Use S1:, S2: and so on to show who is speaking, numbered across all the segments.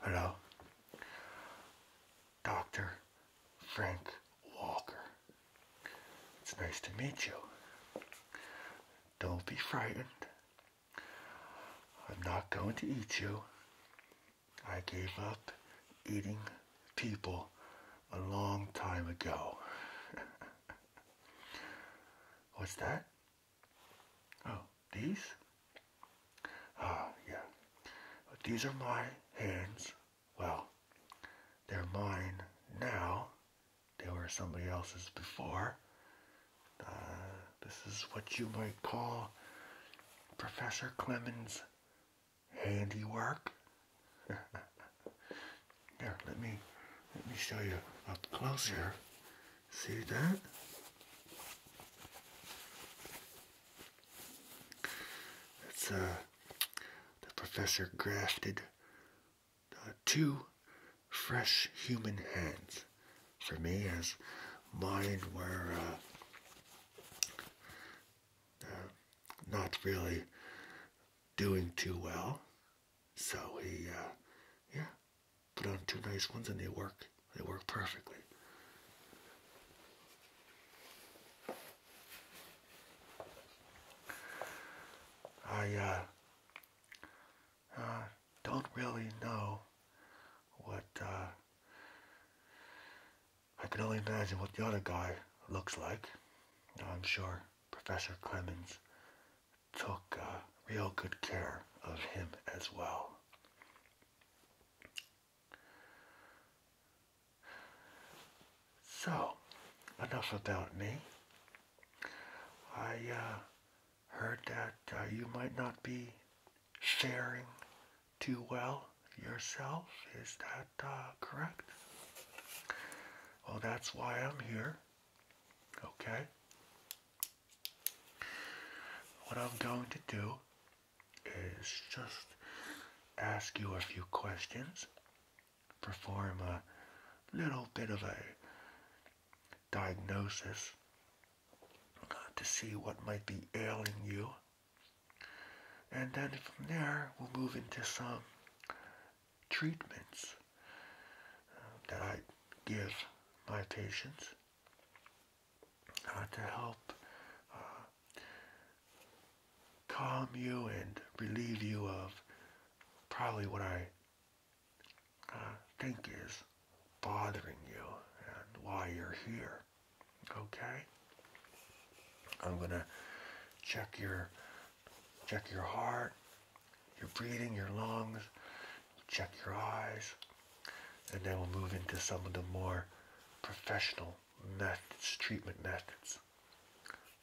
S1: Hello, Dr. Frank Walker. It's nice to meet you. Don't be frightened. I'm not going to eat you. I gave up eating people a long time ago. What's that? Oh, these? Ah, yeah. These are my hands. Well, they're mine now. They were somebody else's before. Uh, this is what you might call Professor Clemens' handiwork. Here, let me let me show you up close here. See that? That's uh, the professor grafted uh, two fresh human hands for me as mine were uh, uh, not really doing too well. So he, uh, yeah, Put on two nice ones and they work. They work perfectly. I uh, uh, don't really know what, uh, I can only imagine what the other guy looks like. I'm sure Professor Clemens took uh, real good care of him as well. So, enough about me. I uh, heard that uh, you might not be sharing too well yourself. Is that correct? Well, that's why I'm here. Okay? What I'm going to do is just ask you a few questions, perform a little bit of a diagnosis uh, to see what might be ailing you. And then from there, we'll move into some treatments uh, that I give my patients to help uh, calm you and relieve you of probably what I uh, think is bothering you and why you're here. Okay? I'm gonna check your check your heart, your breathing, your lungs, check your eyes, and then we'll move into some of the more professional methods, treatment methods.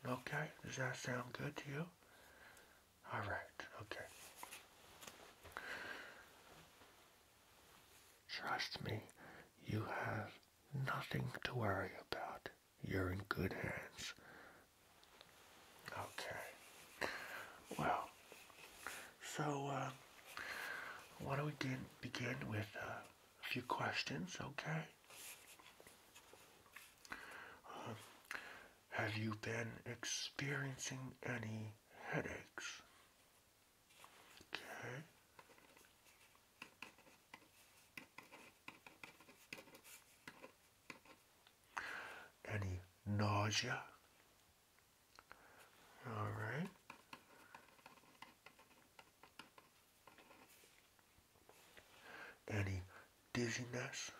S1: Okay, does that sound good to you? All right, okay. Trust me, you have nothing to worry about. You're in good hands. Okay. Well, so uh, why don't we begin, with uh, a few questions, okay? Um, have you been experiencing any headaches? Okay. Any nausea? All right. Any dizziness?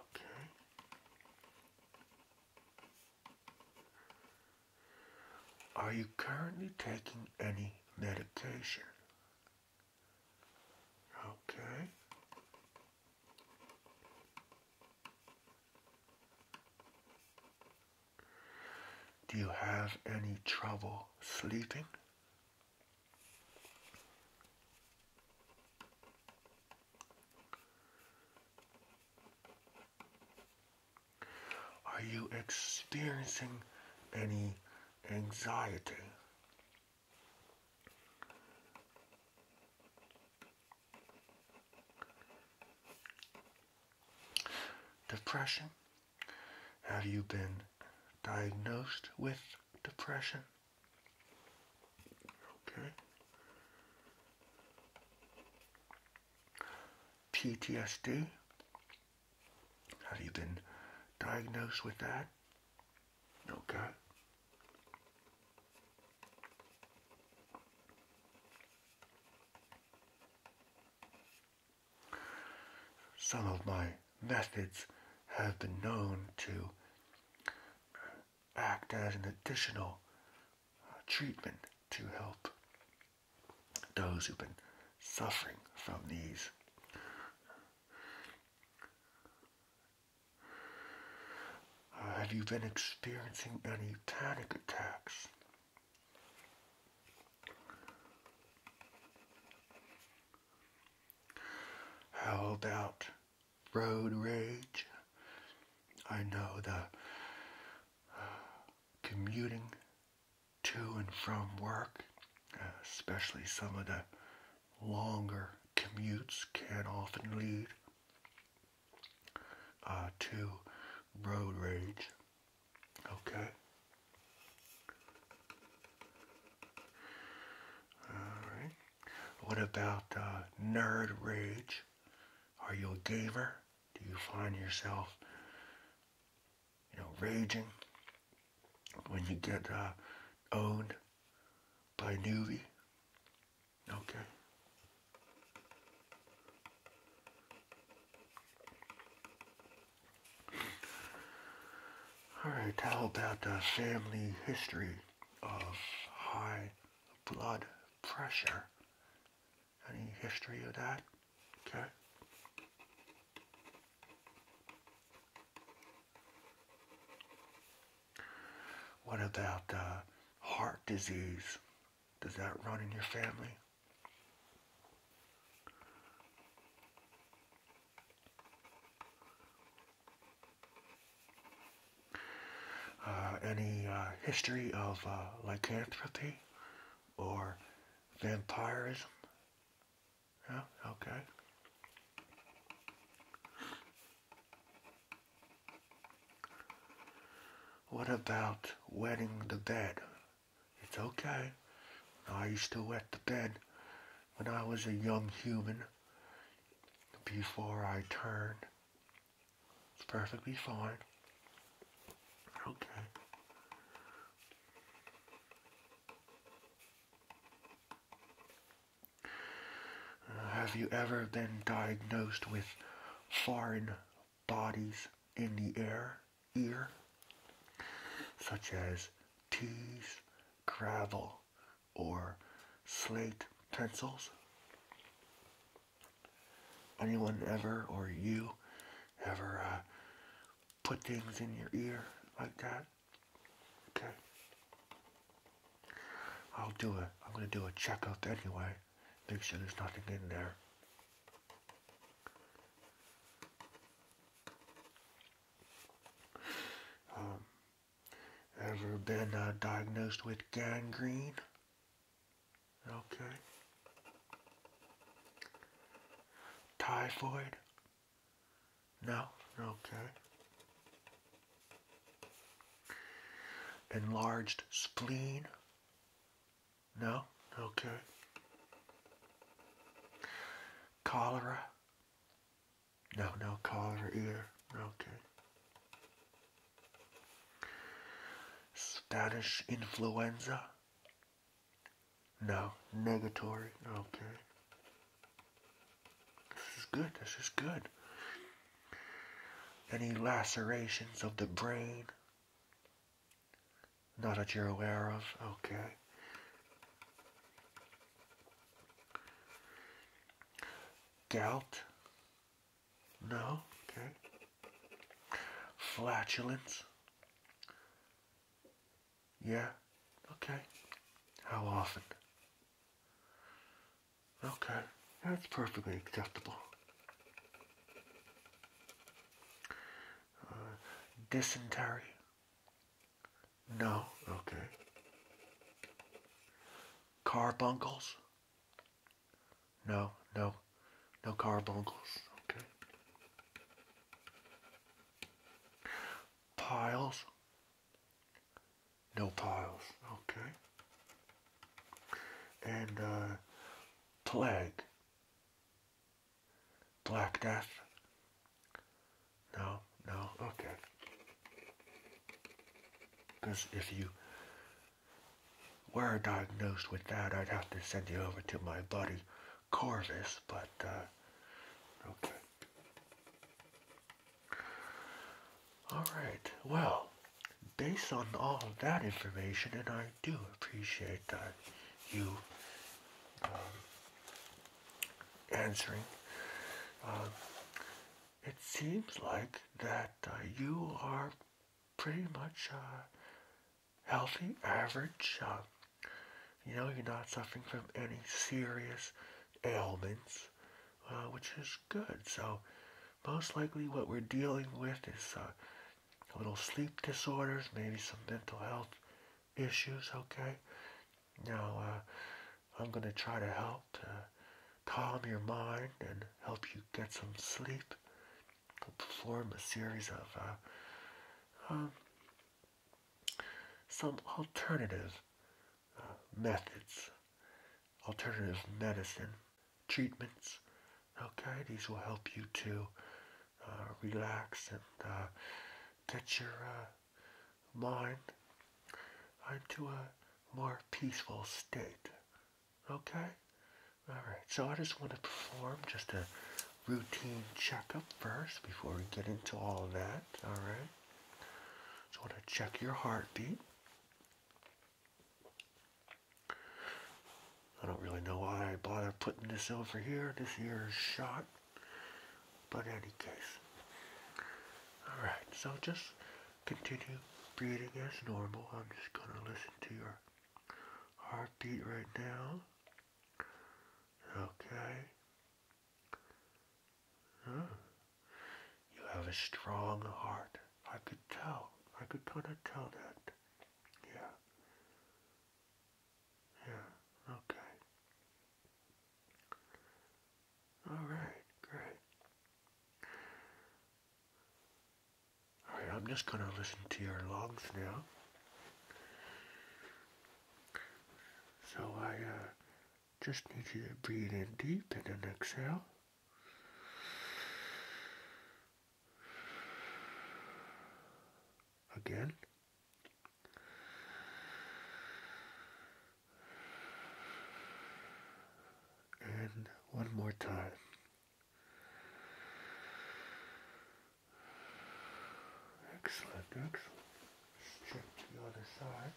S1: Okay. Are you currently taking any medication? Okay. Do you have any trouble sleeping? Are you experiencing any anxiety Depression? Have you been diagnosed with depression? Okay. PTSD? Have you been diagnosed with that? Okay. Some of my methods have been known to act as an additional uh, treatment to help those who've been suffering from these uh, have you been experiencing any panic attacks? How about road rage? I know the uh, commuting to and from work, uh, especially some of the longer commutes can often lead uh, to road rage. Okay. All right. What about uh, nerd rage? Are you a gamer? Do you find yourself, you know, raging when you get uh, owned by a newbie? Okay. Alright, Tell about the family history of high blood pressure? Any history of that? Okay. What about uh, heart disease? Does that run in your family? Uh, any uh, history of lycanthropy or vampirism? Yeah, okay. What about wetting the bed? It's okay. I used to wet the bed when I was a young human before I turned. It's perfectly fine. Okay. Have you ever been diagnosed with foreign bodies in the air, ear, such as teeth, gravel, or slate pencils? Anyone ever, or you, ever uh, put things in your ear like that? Okay. I'll do it. I'm gonna do a checkout anyway. Make sure there's nothing in there. Um, ever been uh, diagnosed with gangrene? Okay. Typhoid? No? Okay. Enlarged spleen? No? Okay. Cholera? No, no cholera either. Okay. Spanish influenza? No, negatory. Okay. This is good. This is good. Any lacerations of the brain? Not that you're aware of? Okay. Gout? No? Okay. Flatulence? Yeah? Okay. How often? Okay, that's perfectly acceptable. Uh, dysentery? No, okay. Carbuncles? No, no, no carbuncles, okay. Piles? No piles. Okay. And uh, plague. Black death. No, no, okay. Because if you were diagnosed with that, I'd have to send you over to my buddy Corvus, but, uh, okay. All right, well, based on all that information, and I do appreciate that you um, answering, uh, it seems like that uh, you are pretty much uh, healthy, average. Um, you know, you're not suffering from any serious ailments, uh, which is good. So most likely what we're dealing with is uh, a little sleep disorders, maybe some mental health issues, okay? Now, uh, I'm going to try to help calm your mind and help you get some sleep. I'll perform a series of um, some alternative methods, alternative medicine, treatments. Okay, these will help you to uh, relax and uh, get your uh, mind into a more peaceful state. Okay? Alright, so I just want to perform just a routine checkup first before we get into all that. Alright? So I want to check your heartbeat. I don't really know why I bother putting this over here. This here is shot. But any case. Alright, so just continue breathing as normal. I'm just going to listen to your heartbeat right now. Okay. You have a strong heart. I could tell. I could kind of tell that. Yeah. Yeah, okay. Alright, great. Alright, I'm just going to listen to your logs now. So I, uh, just need you to breathe in deep and then exhale. Again. And one more time. Excellent, excellent. let the other side.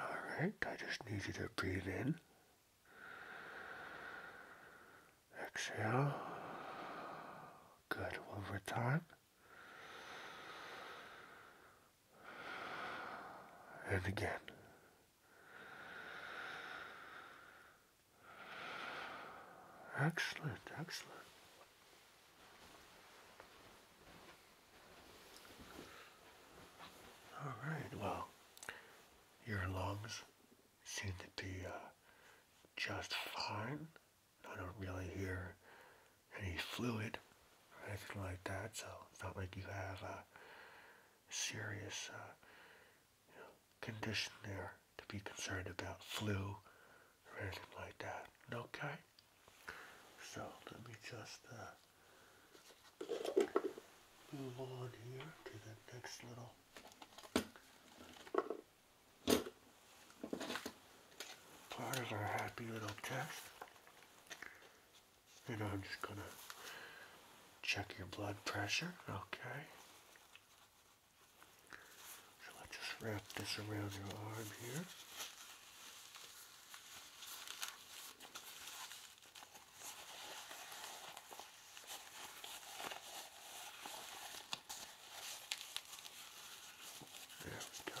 S1: Alright, I just need you to breathe in. Exhale. Good. One more time. And again. Excellent, excellent. All right, well, your lungs seem to be uh, just fine. I don't really hear any fluid or anything like that, so it's not like you have a serious uh, condition there to be concerned about flu or anything like that. Okay? So let me just uh, move on here to the next little part of our happy little test. And I'm just gonna check your blood pressure, okay? So let's just wrap this around your arm here. There we go.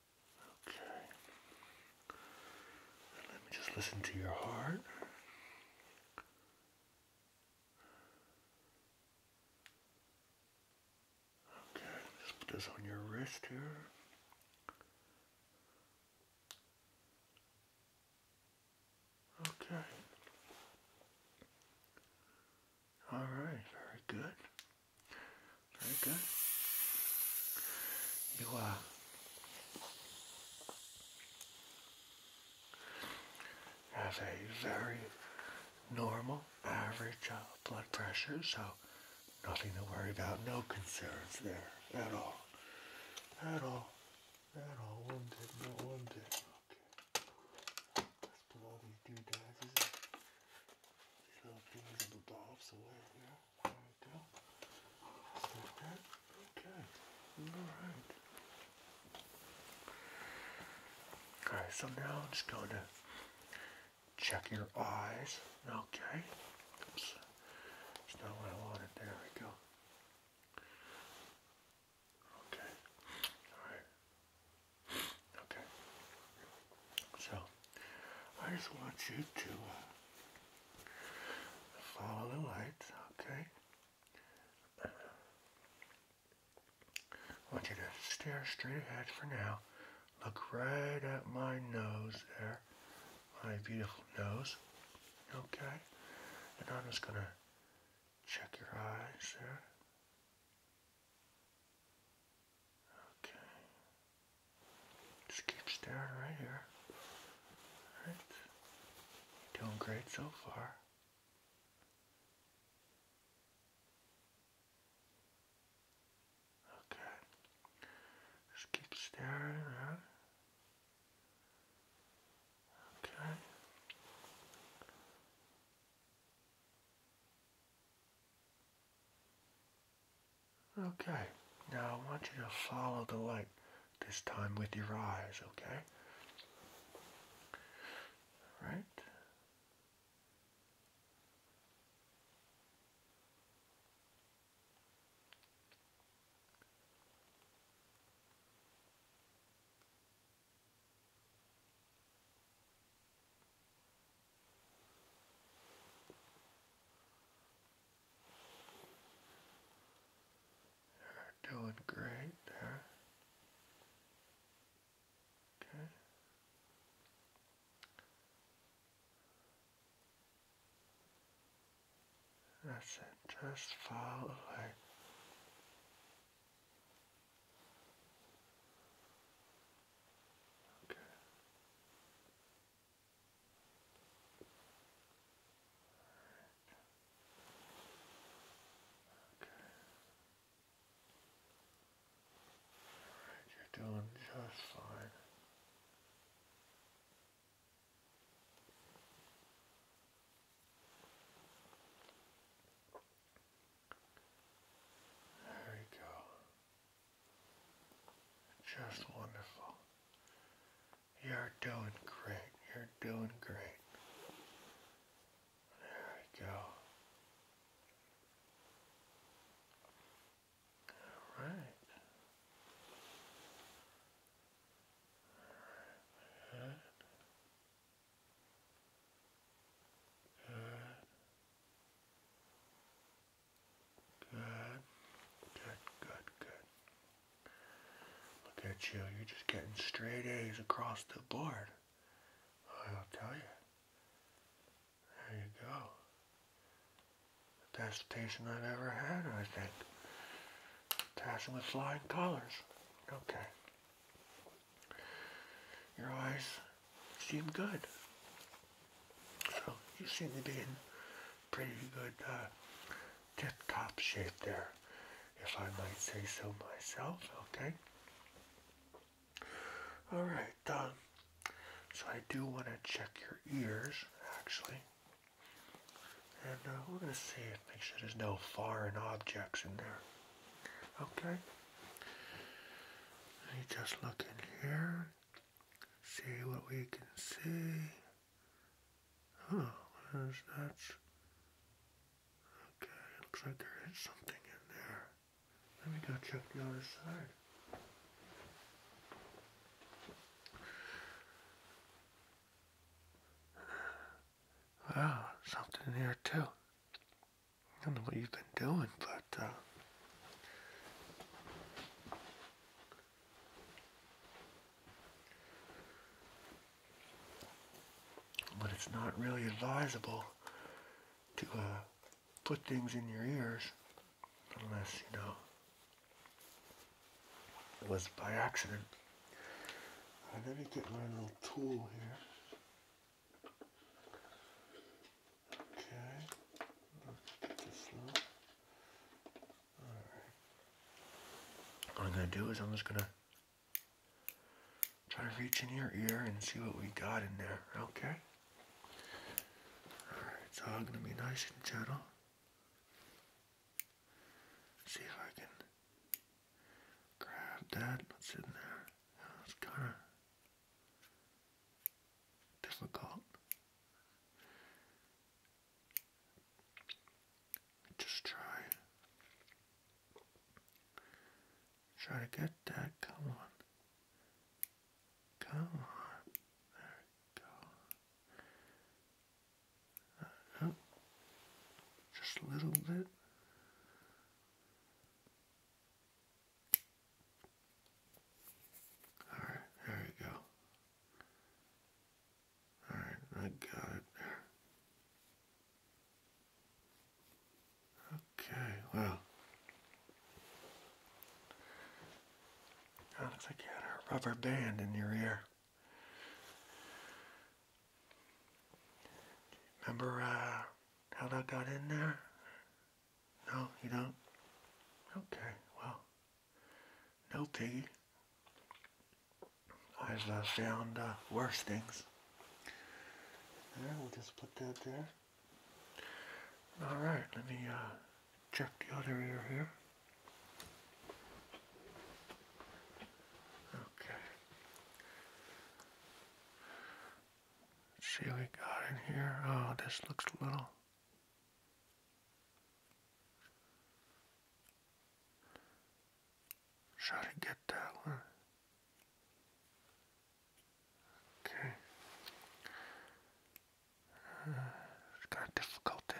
S1: Okay. let me just listen to your heart. Okay, just put this on your wrist here. Okay. All right, very good. Very good. You uh, have a very normal average uh, blood pressure, so nothing to worry about, no concerns there at all. At all. At all. One bit, No one bit. Okay. Let's put these doodads and these little things and the bobs away Okay. Alright. Alright, so now I'm just going to check your eyes. Okay. Oops. not what I wanted. There we go. Okay. Alright. Okay. So I just want you to follow the lights, okay? I want you to stare straight ahead for now. Look right at my nose there, my beautiful nose, okay? And I'm just going to check your eyes there. Okay. Just keep staring right here. Alright. Doing great so far. Okay. Just keep staring Okay. Okay, now I want you to follow the light, this time with your eyes, okay? All right? You're doing great there. Okay. That's it. Just fall away. Okay you're doing just fine. There we go. Just wonderful. You're doing great. You're doing great. There we go. All right. All right. Good, good, good, good. Look at you, you're just getting straight A's across the board. I'll tell you. There you go. best station I've ever had, I think. Passing with flying colors. Okay. Your eyes seem good. So you seem to be in pretty good uh, tip-top shape there, if I might say so myself, okay? Alright, done. Um, so I do want to check your ears, actually. And uh, we're going to see if make sure there's no foreign objects in there. Okay? Let me just look in here see what we can see. Oh, there's that's okay. Looks like there is something in there. Let me go check the other side. Wow, something there too. I don't know what you've been doing, but uh, but it's not really advisable to uh, put things in your ears unless, you know, it was by accident. Uh, let me get my little tool here. Okay. Let's get this low. Alright. What I'm gonna do is I'm just gonna try to reach in your ear and see what we got in there, okay? Alright, so I'm gonna be nice and gentle. See if I can grab that. What's in there? Yeah, it's kind of difficult. Just try. Try to get that. Come on. Come on. There we go. Uh, oh. Just a little bit. All right, there you go. All right, I got it Okay, well, that looks like you had a rubber band in your ear. Remember uh, how that got in there? No, you don't? Okay, well, no piggy. I've uh, found uh, worse things. There, we'll just put that there. Alright, let me uh, check the other ear here. Okay. see what we got in here. Oh, this looks a little Try to get that one. Okay. Uh, it's kind of difficult to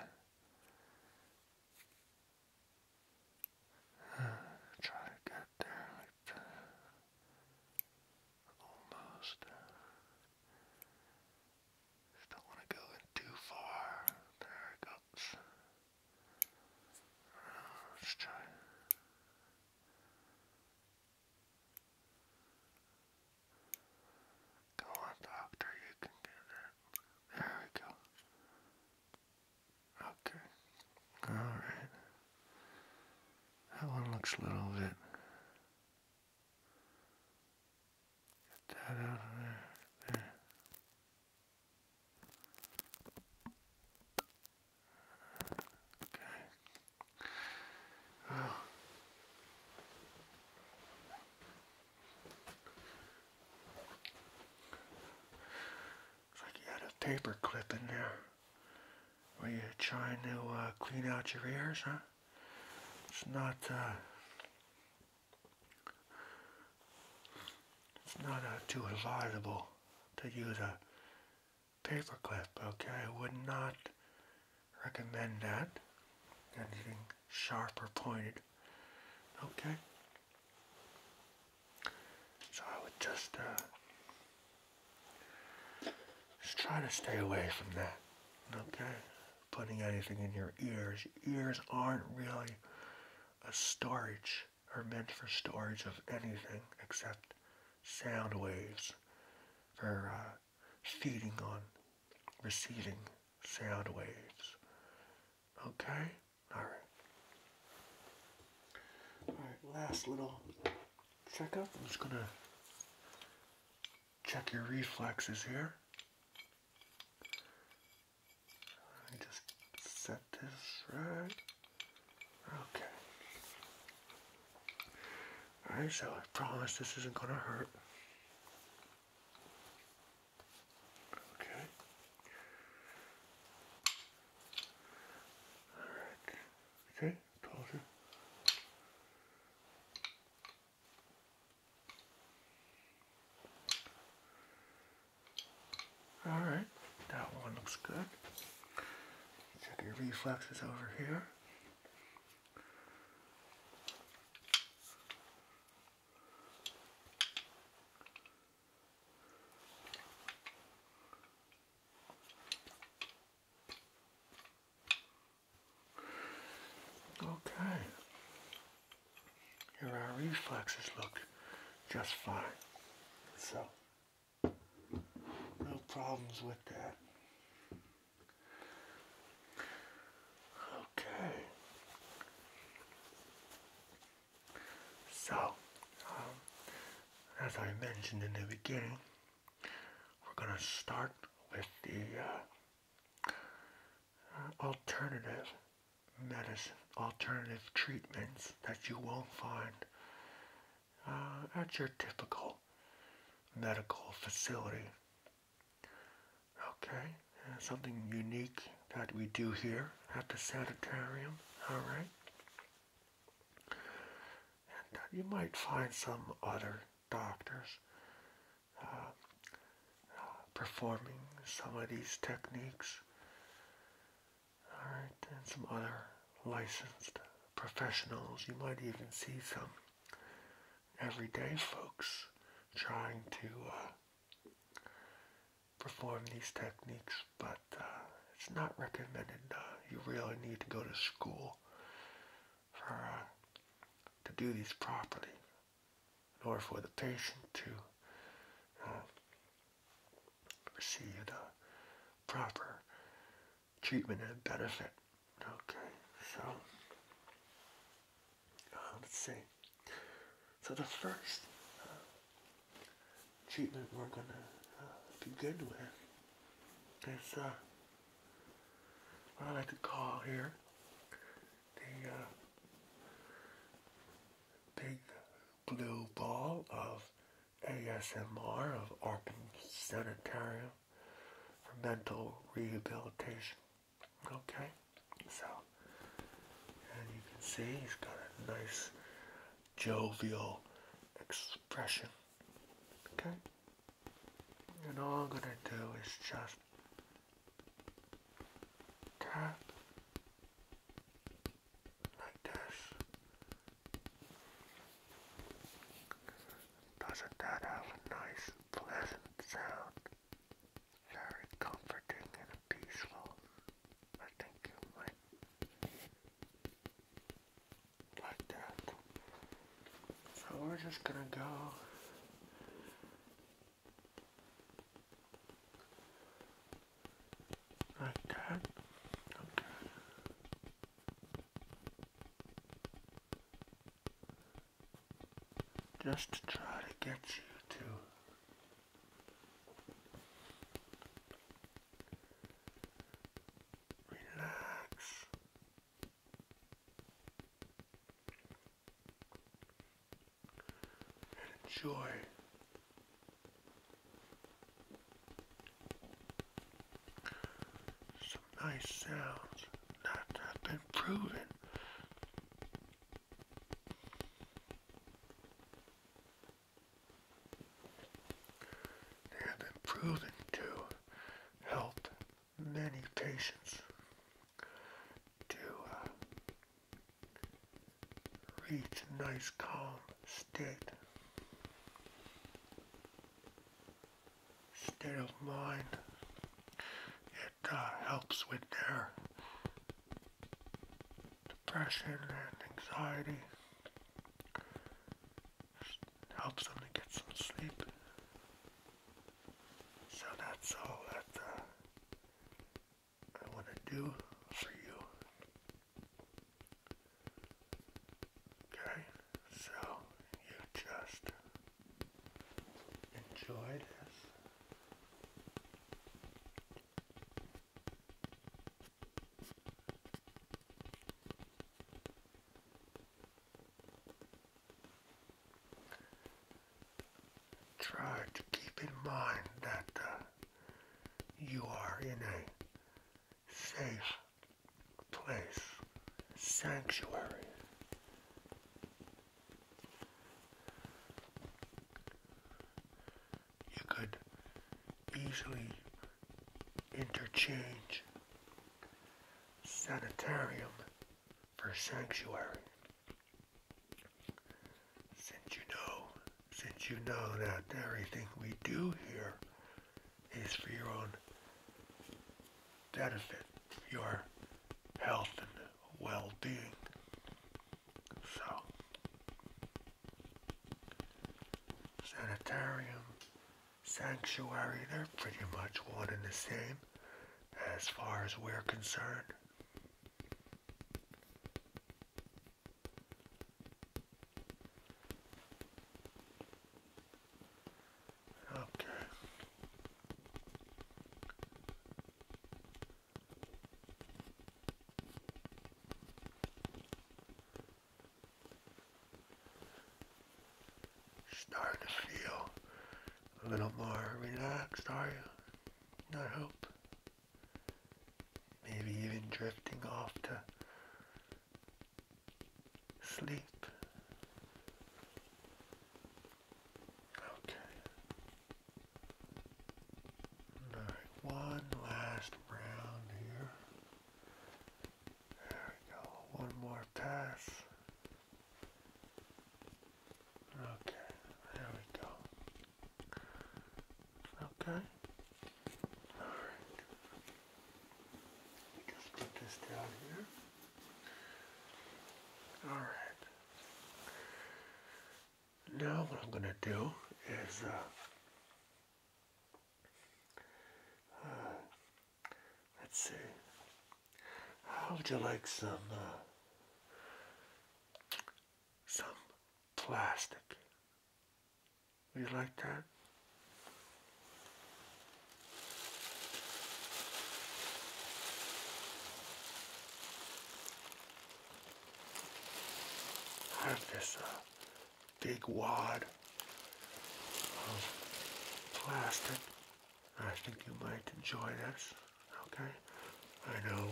S1: uh, try to get there that. Uh, almost. Don't want to go in too far. There it goes. Uh, let's try. Go on, doctor, you can get it. There we go. Okay. Alright. That one looks a little bit Get that out of there. Okay. Well. It's like you had a paper clip in there. Were you trying to uh, clean out your ears, huh? it's not uh, it's not uh, too laudable to use a paperclip. Okay, I would not recommend that. Anything sharp or pointed. Okay. So I would just uh, just try to stay away from that. Okay putting anything in your ears. ears aren't really a storage or meant for storage of anything except sound waves for uh, feeding on receiving sound waves. Okay? Alright. Alright, last little checkup. I'm just gonna check your reflexes here. Let me just set this right. Okay. Alright, so I promise this isn't going to hurt. Okay. Alright. Okay, told you. All right, that one looks good. Check your reflexes over here. Okay. Here our reflexes look just fine. So, no problems with that. Okay. So, um, as I mentioned in the beginning, we're going to start with the uh, alternative medicine, alternative treatments that you won't find uh, at your typical medical facility. Okay, uh, something unique that we do here at the sanitarium, alright? Uh, you might find some other doctors performing some of these techniques. Alright, and some other licensed professionals. You might even see some everyday folks trying to uh, perform these techniques, but uh, it's not recommended. Uh, you really need to go to school for uh, to do these properly in order for the patient to receive the proper treatment and benefit. Okay, so uh, let's see. So the first uh, treatment we're gonna begin with is what I like to call here the uh, big blue ball of ASMR of Arkham Sanitarium for mental rehabilitation. Okay, so and you can see he's got a nice jovial expression. Okay, and all I'm gonna do is just tap like this. Doesn't that have a nice, pleasant sound? Very comforting and peaceful. I think you might like that. So we're just gonna go like that. Okay. Just to try to get you to relax and enjoy some nice sounds that have been proven. They proven to help many patients to uh, reach a nice calm state, state of mind. It uh, helps with their depression and anxiety. helps them to get some sleep. So that's all that uh, I want to do for you. Okay, so you just enjoy this. Try to keep in mind that uh, you are in a safe place, sanctuary. You could easily interchange sanitarium for sanctuary. Since you know, since you know that everything we do here is for your own benefit, your health and well-being. So, sanitarium, sanctuary, they're pretty much one and the same as far as we're concerned. Okay starting to feel a little more relaxed, are you? Not hope. Maybe even drifting off to sleep. Okay. Alright, one last round here. There we go. One more pass. Okay, there we go. Okay. Alright. Just put this down here. Alright. Now what I'm gonna do is uh, uh, Let's see. How would you like some uh, some plastic? Would you like that? I have this uh, big wad of plastic I think you might enjoy this, okay? I know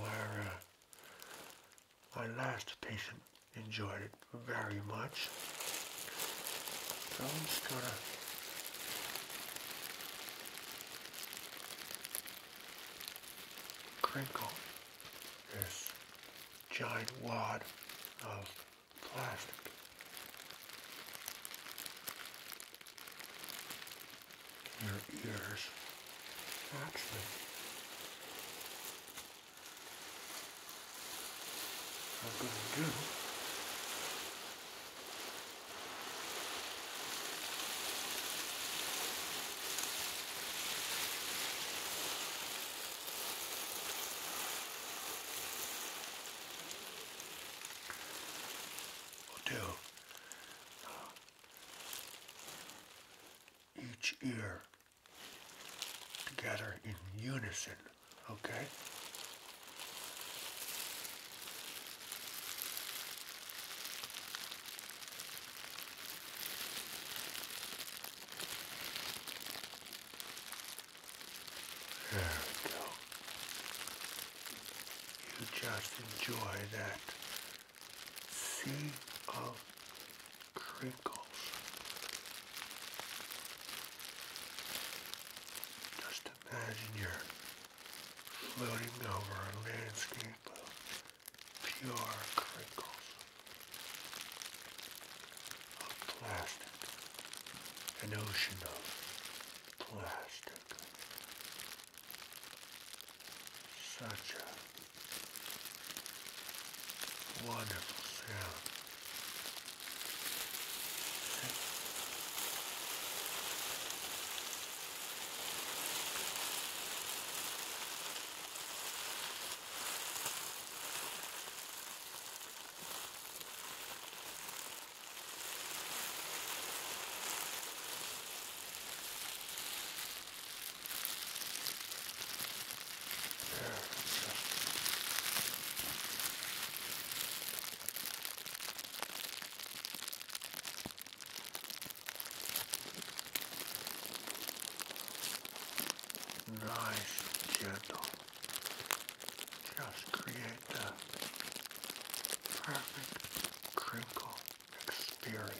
S1: our, my uh, last patient enjoyed it very much. So I'm just gonna crinkle this giant wad of plastic your ears naturally. I'm going to do we will do. Uh, each ear together in unison, okay? There we go you just enjoy that sea of crinkles. Just imagine you're floating over a landscape of pure crinkles of plastic, an ocean of plastic. Such a wonderful sound. Nice and gentle. Just create the perfect crinkle experience.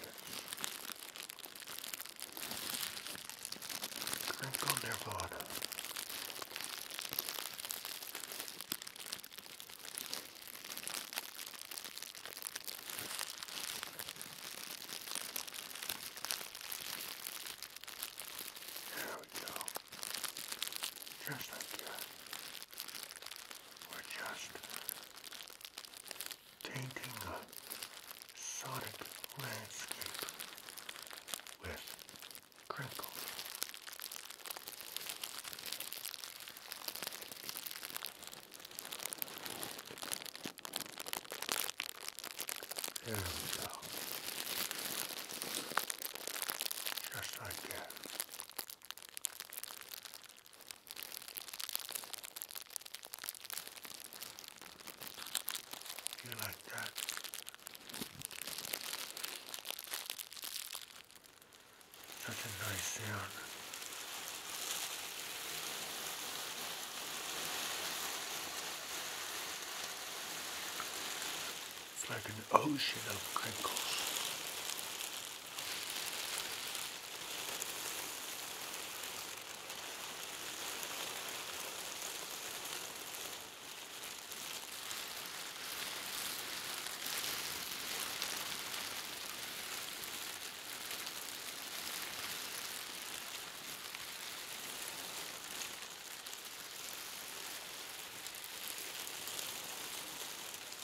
S1: Crinkle Nirvana. There we go. Just like that. We're just painting a sonic landscape with crinkles. There we go. Just like that. You like that? Such a nice sound. It's like an ocean of wrinkles.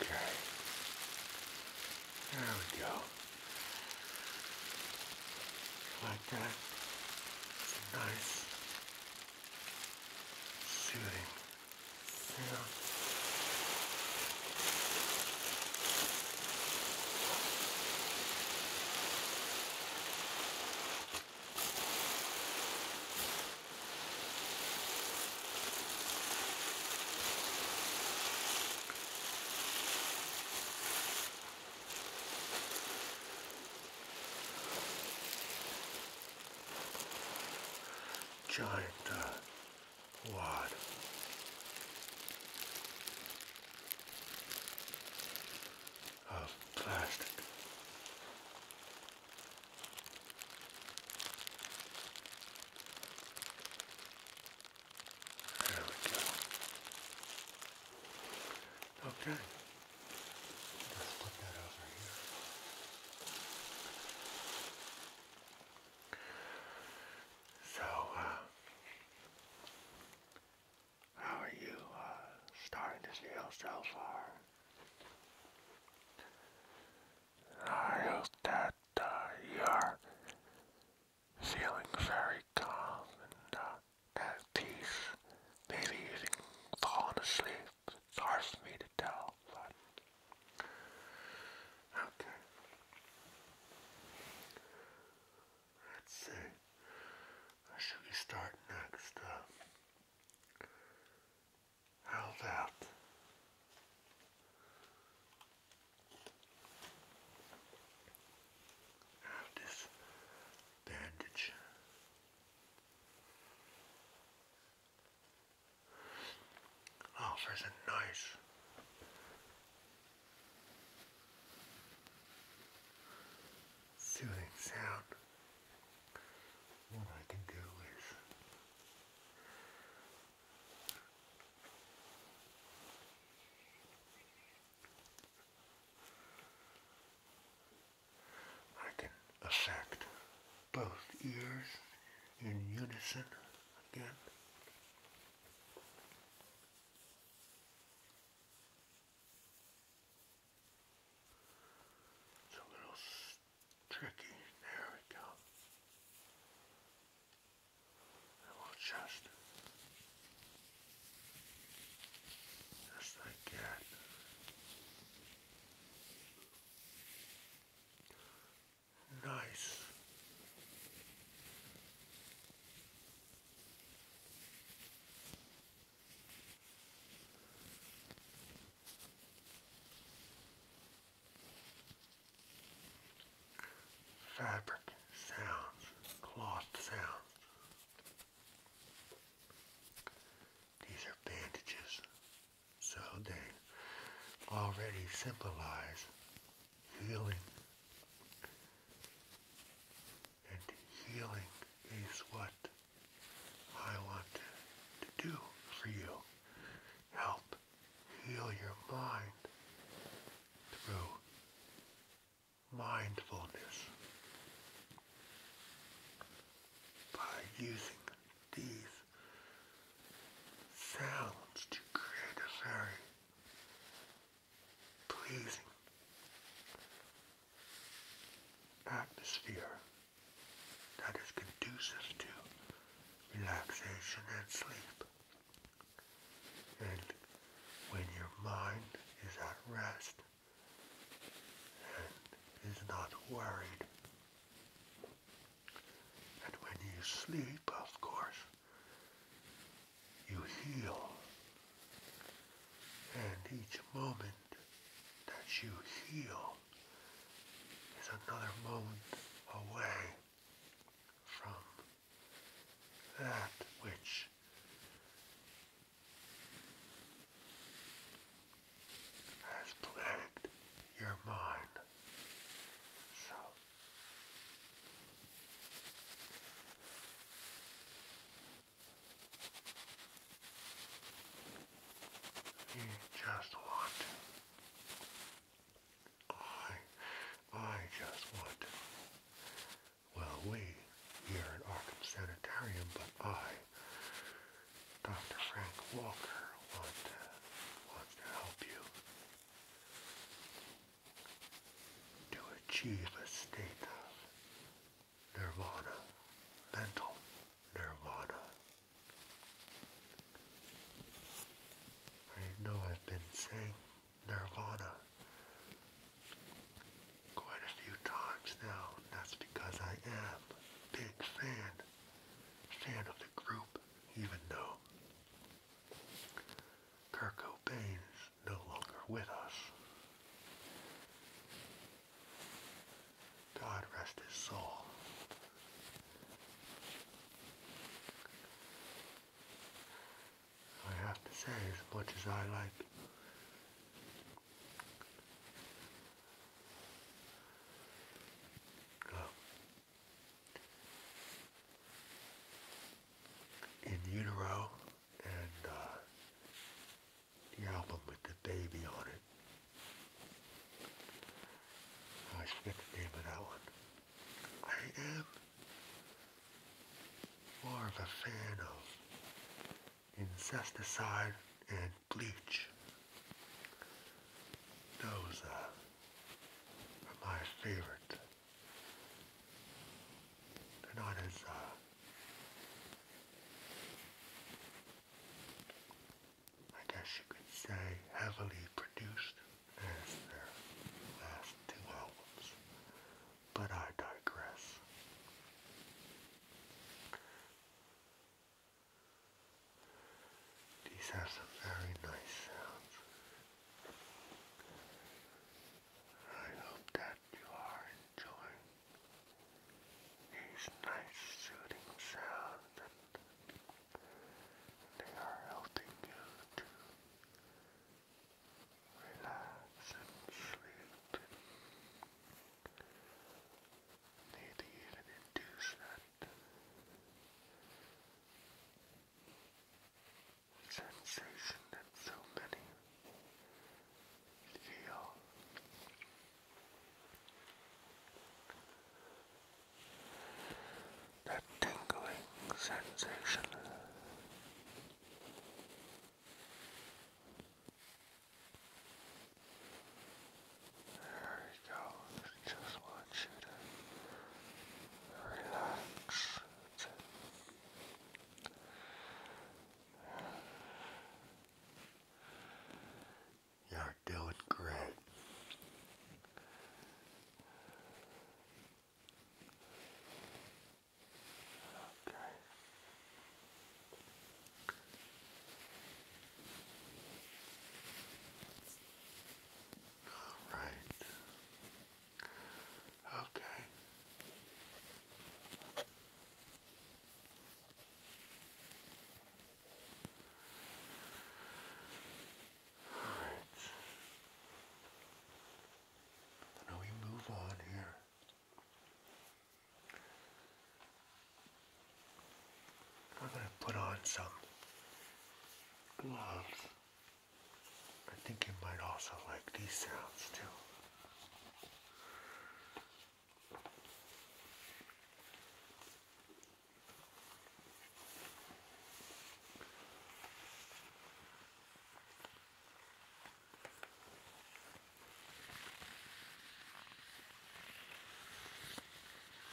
S1: Okay. There we go. Like that. nice, soothing giant uh, what? Of plastic. There we go. Okay. Let's put that over here. So, uh, how are you uh, starting this year so far? I hope that uh, you are feeling very calm and uh, at peace. Maybe even fallen asleep. It's hard for me to tell, but Okay. Let's see. should we start next? Uh, how about have this bandage? Oh, isn't nice. Soothing sound. What I can do is I can affect both ears in unison again. It's a little tricky. There we go. And we'll just, just like that. Nice. Fabric sounds, cloth sounds. These are bandages, so they already symbolize healing. And healing is what I want to do for you. Help heal your mind through mindfulness by using these sounds to create a very pleasing atmosphere that is conducive to relaxation and sleep. And when your mind is at rest and is not worried, and when you sleep, of course, you heal. And each moment that you heal is another moment away from that which has plagued your mind. You just want I, I just want Well, we here in Arkham Sanitarium, but I, Dr. Frank Walker, want to, wants to help you to achieve a state of nirvana, mental nirvana. I know I've been saying nirvana quite a few times now. That's because I am big fan, fan of the group, even though Kurt Cobain is no longer with us. God rest his soul. I have to say, as much as I like uh, in utero and uh, the album with the baby on it. I forget the name of that one. I am more of a fan of Incesticide and Bleach. Those uh, but my favorite, they're not as, uh, I guess you could say, heavily produced as their last two albums. But I digress. These have some very nice sounds. I hope that you are enjoying these nice soothing sounds and they are helping you to relax and sleep and maybe even induce that sensation that so many feel. That tingling sensation. There you go. I just want you to relax. You're doing great. Okay. All right. Okay. All right. Now we move on here. We're going to put on some gloves. I think you might also like these sounds too.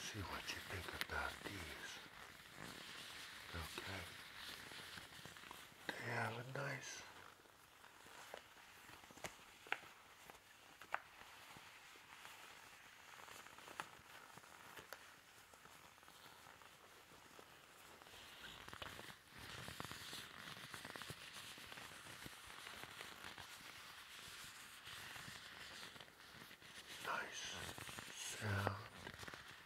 S1: See what you think about these. Okay. They have a nice nice sound.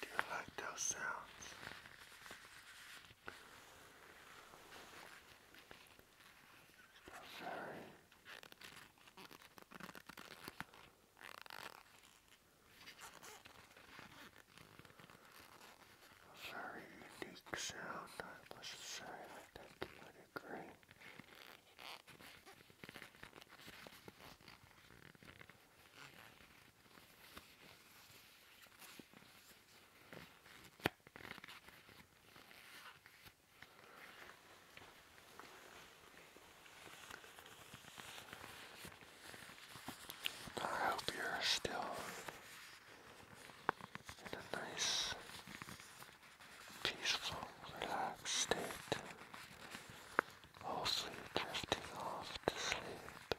S1: Do you like those sounds? They're very a very unique sound, I must say, I think you would agree. I hope you're still in a nice, peaceful, relaxed state, hopefully drifting off to sleep.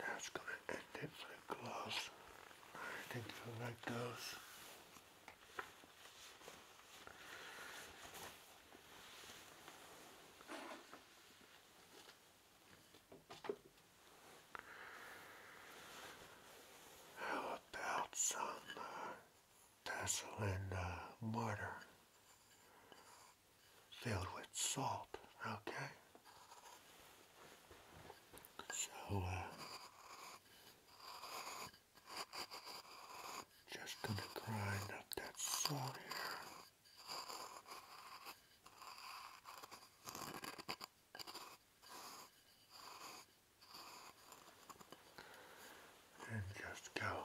S1: That's going to end it for the gloves. I think you'll like those. How about some uh, Vaseline mortar uh, filled with salt? Okay. So, uh, just gonna grind up that salt here. And just go.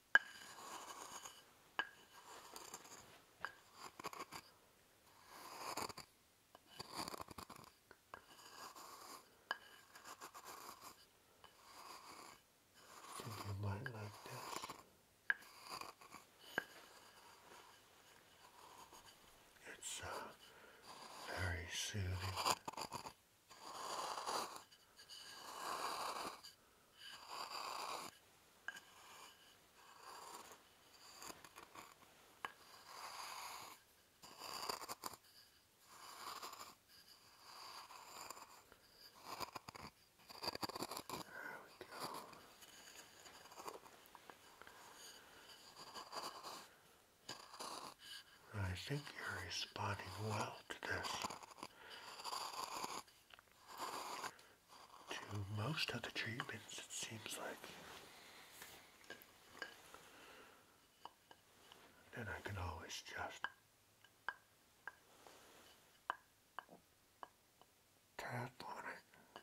S1: And you might like this. It's uh, very soothing. There we go. I think you're responding well to this to most of the treatments, it seems like. Then I can always just tap on it.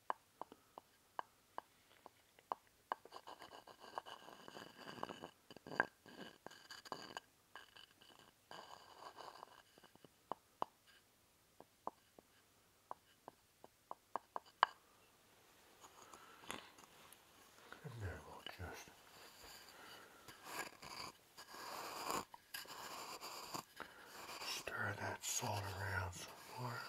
S1: And then we'll just Stir that salt around some more.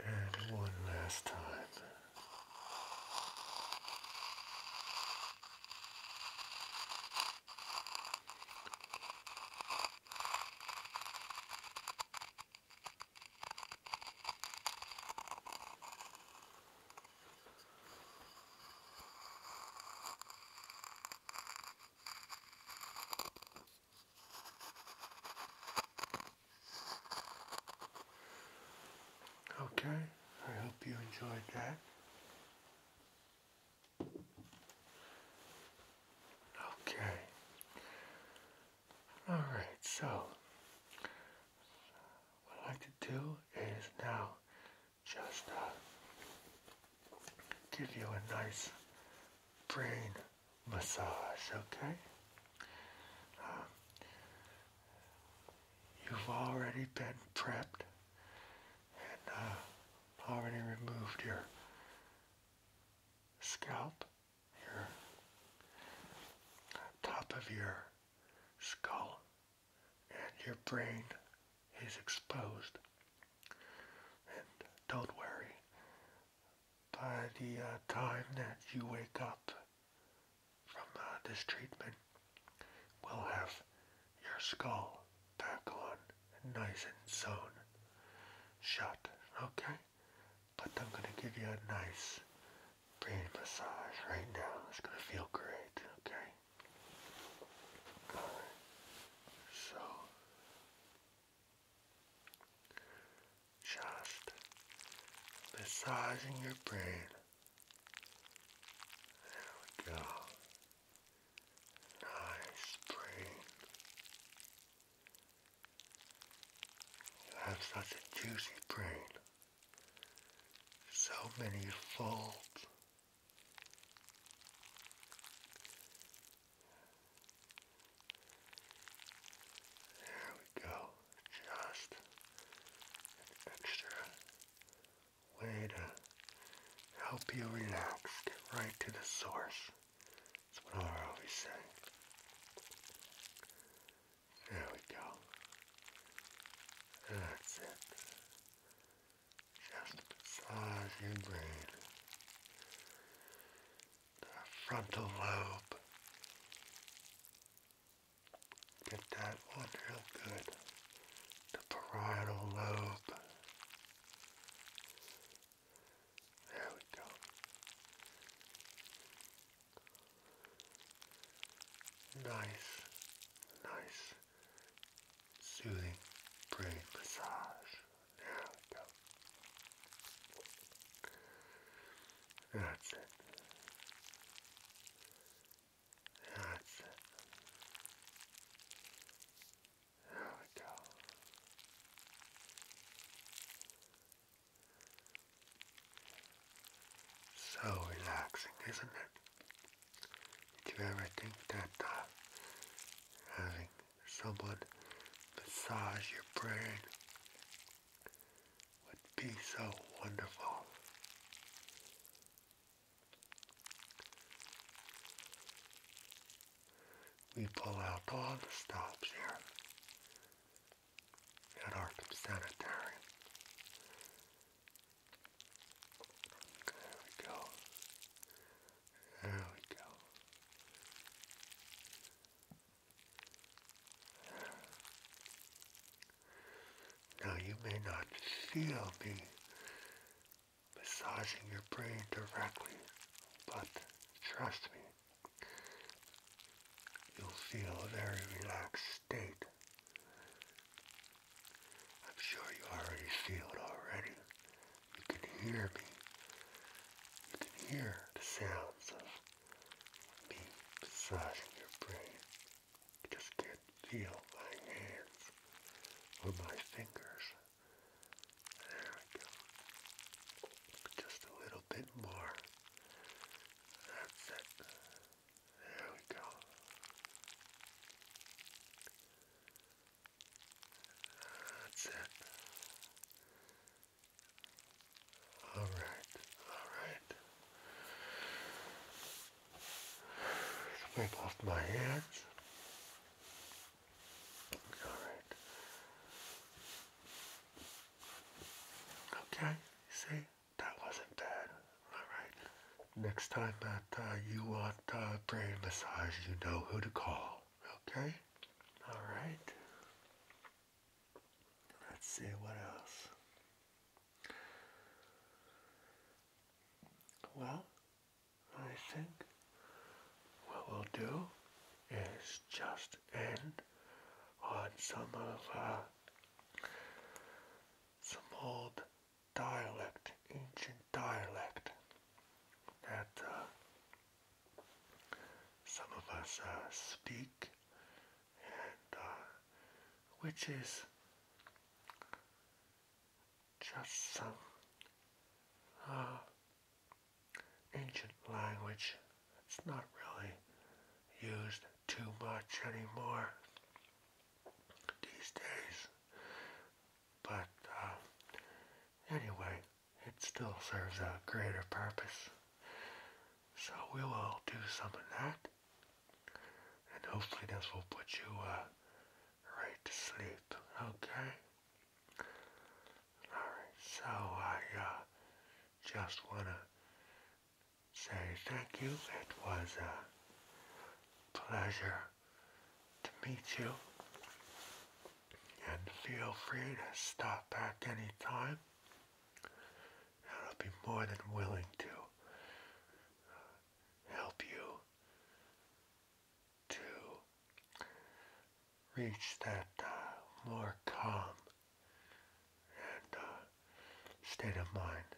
S1: And one last time. Okay, I hope you enjoyed that. Okay. All right, so what I like to do is now just uh, give you a nice brain massage, okay? Uh, you've already been prepped and uh, already removed your scalp, your top of your skull, and your brain is exposed. And don't worry, by the uh, time that you wake up from uh, this treatment, we'll have your skull back on nice and zoned, shut, okay? But I'm going to give you a nice brain massage right now. It's going to feel great, okay? Alright. So, just massaging your brain. There we go. Nice brain. You have such a juicy brain, so many folds. There we go, just extra way to help you relax, get right to the source. That's what I always say. There we go. That's it. Just massage your brain. The frontal lobe. Get that one real good. The parietal lobe. There we go. Nice, nice, soothing brain massage. There we go. That's it. That's it. So relaxing, isn't it? Did you ever think that uh, having someone massage your brain would be so wonderful? we pull out all the stops here at Arkham Sanitary. There we go. There we go. Now you may not feel me massaging your brain directly, but trust me, you'll feel a very relaxed state. I'm sure you are already feel it already. You can hear me. You can hear the sounds of me massaging your brain. You just can feel my hands or my fingers. There we go. Just a little bit more. That's it. There we go. That's it. Alright, alright. Swipe off my hands. Alright. Okay, see, that wasn't bad. Alright. Next time that uh, you want uh, brain massage, you know who to call. Okay? Alright. Let's see what else. Well, I think what we'll do is just end on some of uh, some old dialect, ancient dialect that uh, some of us uh, speak, and which is just some ancient language. It's not really used too much anymore these days. But uh, anyway, it still serves a greater purpose. So we will do some of that. And hopefully this will put you uh, right to sleep, okay? Alright, so I uh, just want to say thank you. It was a pleasure to meet you. And feel free to stop back anytime. And I'll be more than willing to uh, help you to reach that uh, more calm and uh, state of mind,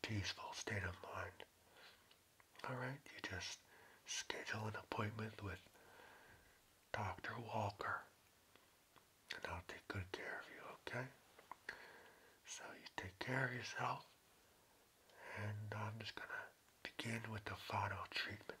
S1: peaceful state of mind. Alright, you just schedule an appointment with Dr. Walker and I'll take good care of you, okay? So you take care of yourself and I'm just going to begin with the final treatment.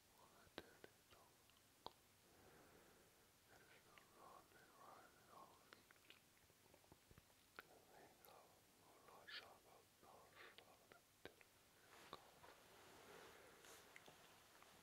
S1: what I did at all. There's no wrong and right at all. I think I will not talk about God until you go. There's no God There's no God and there's no God. There's no